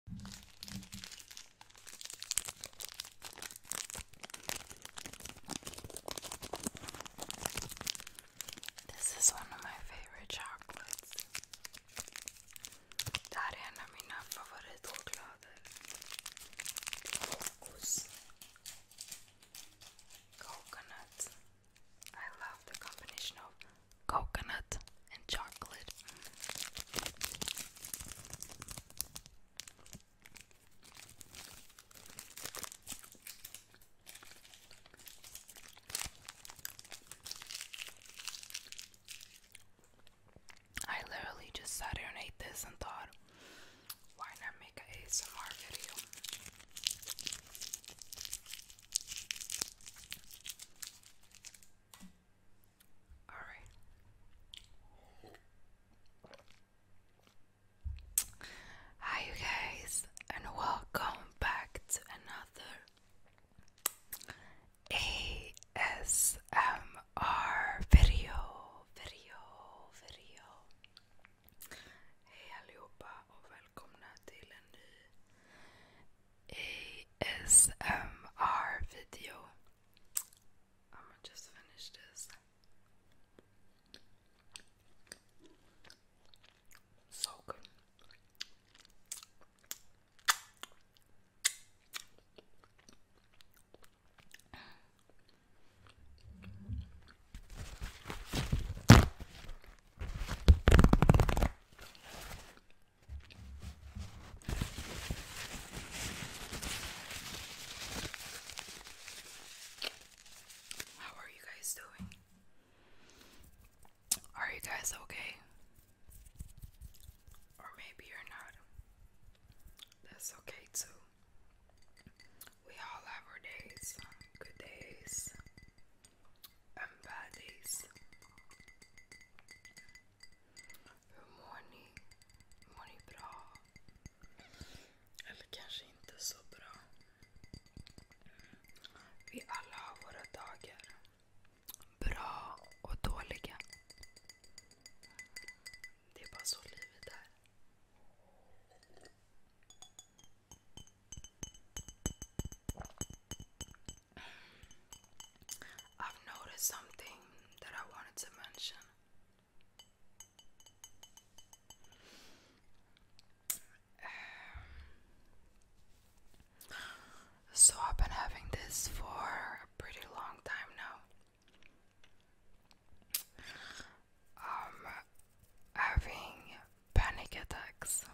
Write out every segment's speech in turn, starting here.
This is one of my favorite chocolates. Det är en av mina favoritchoklader. Fokus. Coconut. I love the combination of coconut, and chocolate. I literally just sat here and ate this and thought, why not make an ASMR video? All right. Hi, you guys, and welcome back to another ASMR video. Video, video. Hej allihopa och välkomna till en ny ASMR video. I'm just finish this. So good. How are you guys doing? Are you guys okay? Or maybe you're not. That's okay too. We all have our days, good days, en bärdis. Hur mår ni? Mår ni bra? Eller kanske inte så bra. Vi alla har våra dagar. Bra och dåliga. Det är bara så livet är. I've noticed something that I wanted to mention. So, I've been having this for a pretty long time now. um, having panic attacks.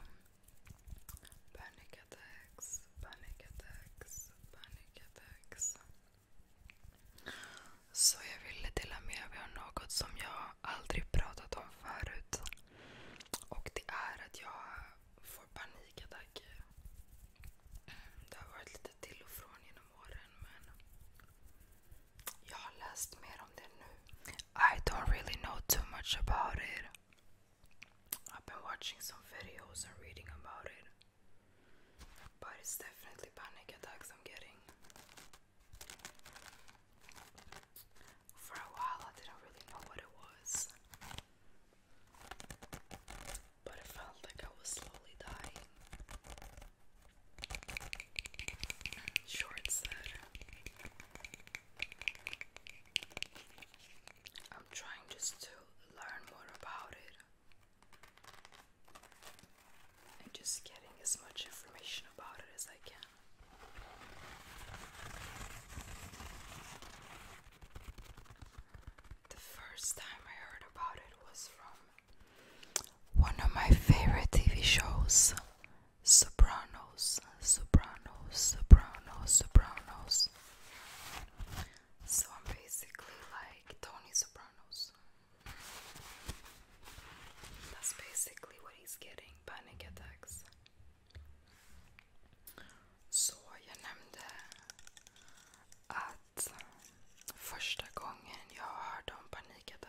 Panic attacks, panic attacks, panic attacks. Så jag ville dela med mig av något som jag aldrig pratat om förut. Och det är att jag får panikattacker. Mm, det har varit lite till och från genom åren men I don't really know too much about it. I've been watching some videos and reading about it. But it's definitely panic attacks I'm getting. For a while I didn't really know what it was. But it felt like I was slowly dying. Shorts I'm trying just to learn more about it and just getting as much information about it as I can. The first time I heard about it was from one of my favorite TV shows, Sopranos, Sopranos, Sopranos, Sopranos. So I'm basically like Tony Sopranos. That's basically what he's getting panic attacks. Så jag nämnde att första gången jag hörde om panikat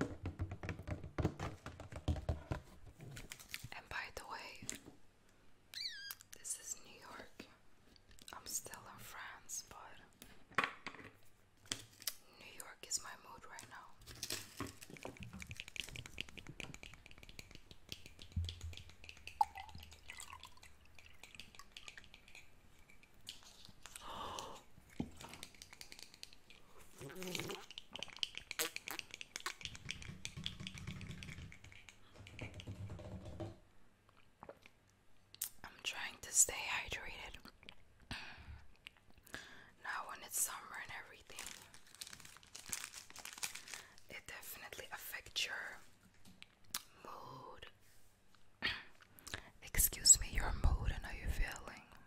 And by the way, this is New York. I'm still in France, but New York is my mood right now. I'm trying to stay hydrated now when it's summer and everything. It definitely affects your mood. Excuse me, your mood and how you're feeling.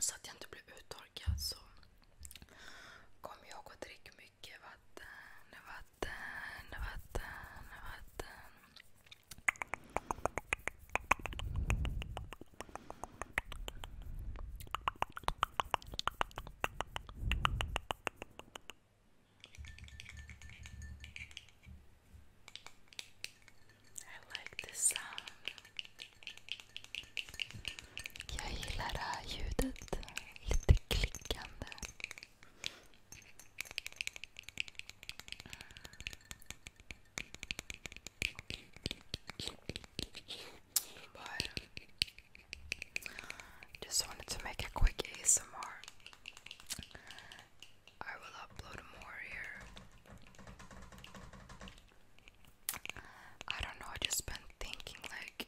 så att jag inte blev uttorkad så kom jag och drick mycket vatten, vatten, vatten, vatten. I like this sound. Jag gillar det här ljudet. Lite But just wanted to make a quick ASMR I will upload more here. I don't know, I just been thinking like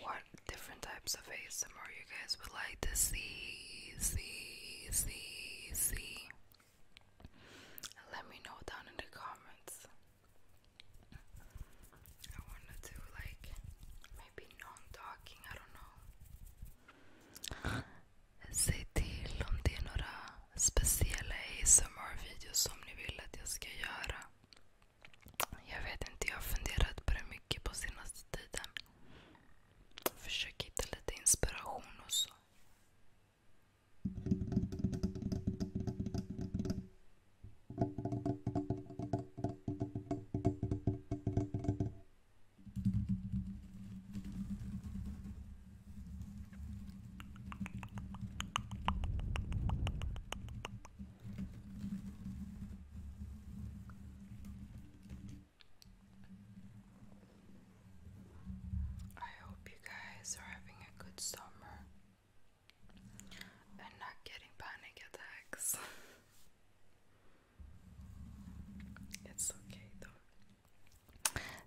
what different types of ASMR you guys would like to see, see, see, see. let me know down in the comments. I wanna do like maybe non-talking, I don't know. Säg till om det är några speciella ASMR-videos som ni vill att jag ska göra. Jag vet inte, jag har funderat på det mycket på senaste tiden. Försöker hitta lite inspiration och så. I hope you guys are having a good summer and not getting panic attacks. It's okay though.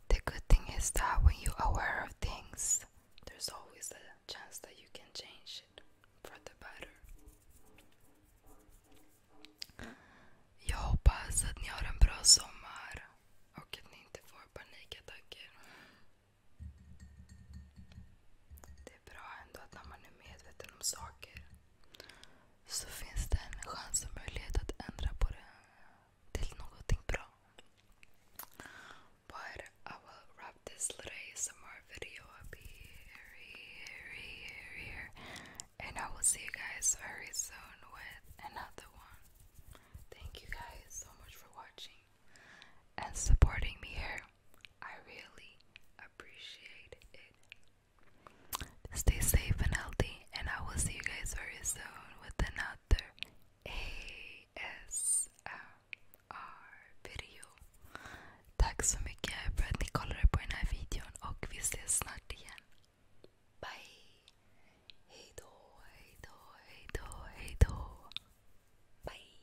The good thing is that when you're aware of things, there's always a chance that you can change it for the better. Jag hoppas att ni har en bra sommar och att ni inte får panikattacker. Det är bra ändå att man är medveten om saker så finns det en chans och möjlighet att ändra på det till någonting bra. But I will wrap this little ASMR video up here. And I will see you guys very soon with another one. Thank you guys so much for watching and supporting me here. I really appreciate it. Stay safe and healthy, and I will see you guys very soon with another ASMR video. Tack så mycket för att ni kollade på den här videon och vi ses snart igen. Bye! Hejdå, hejdå, hejdå, hejdå. Bye!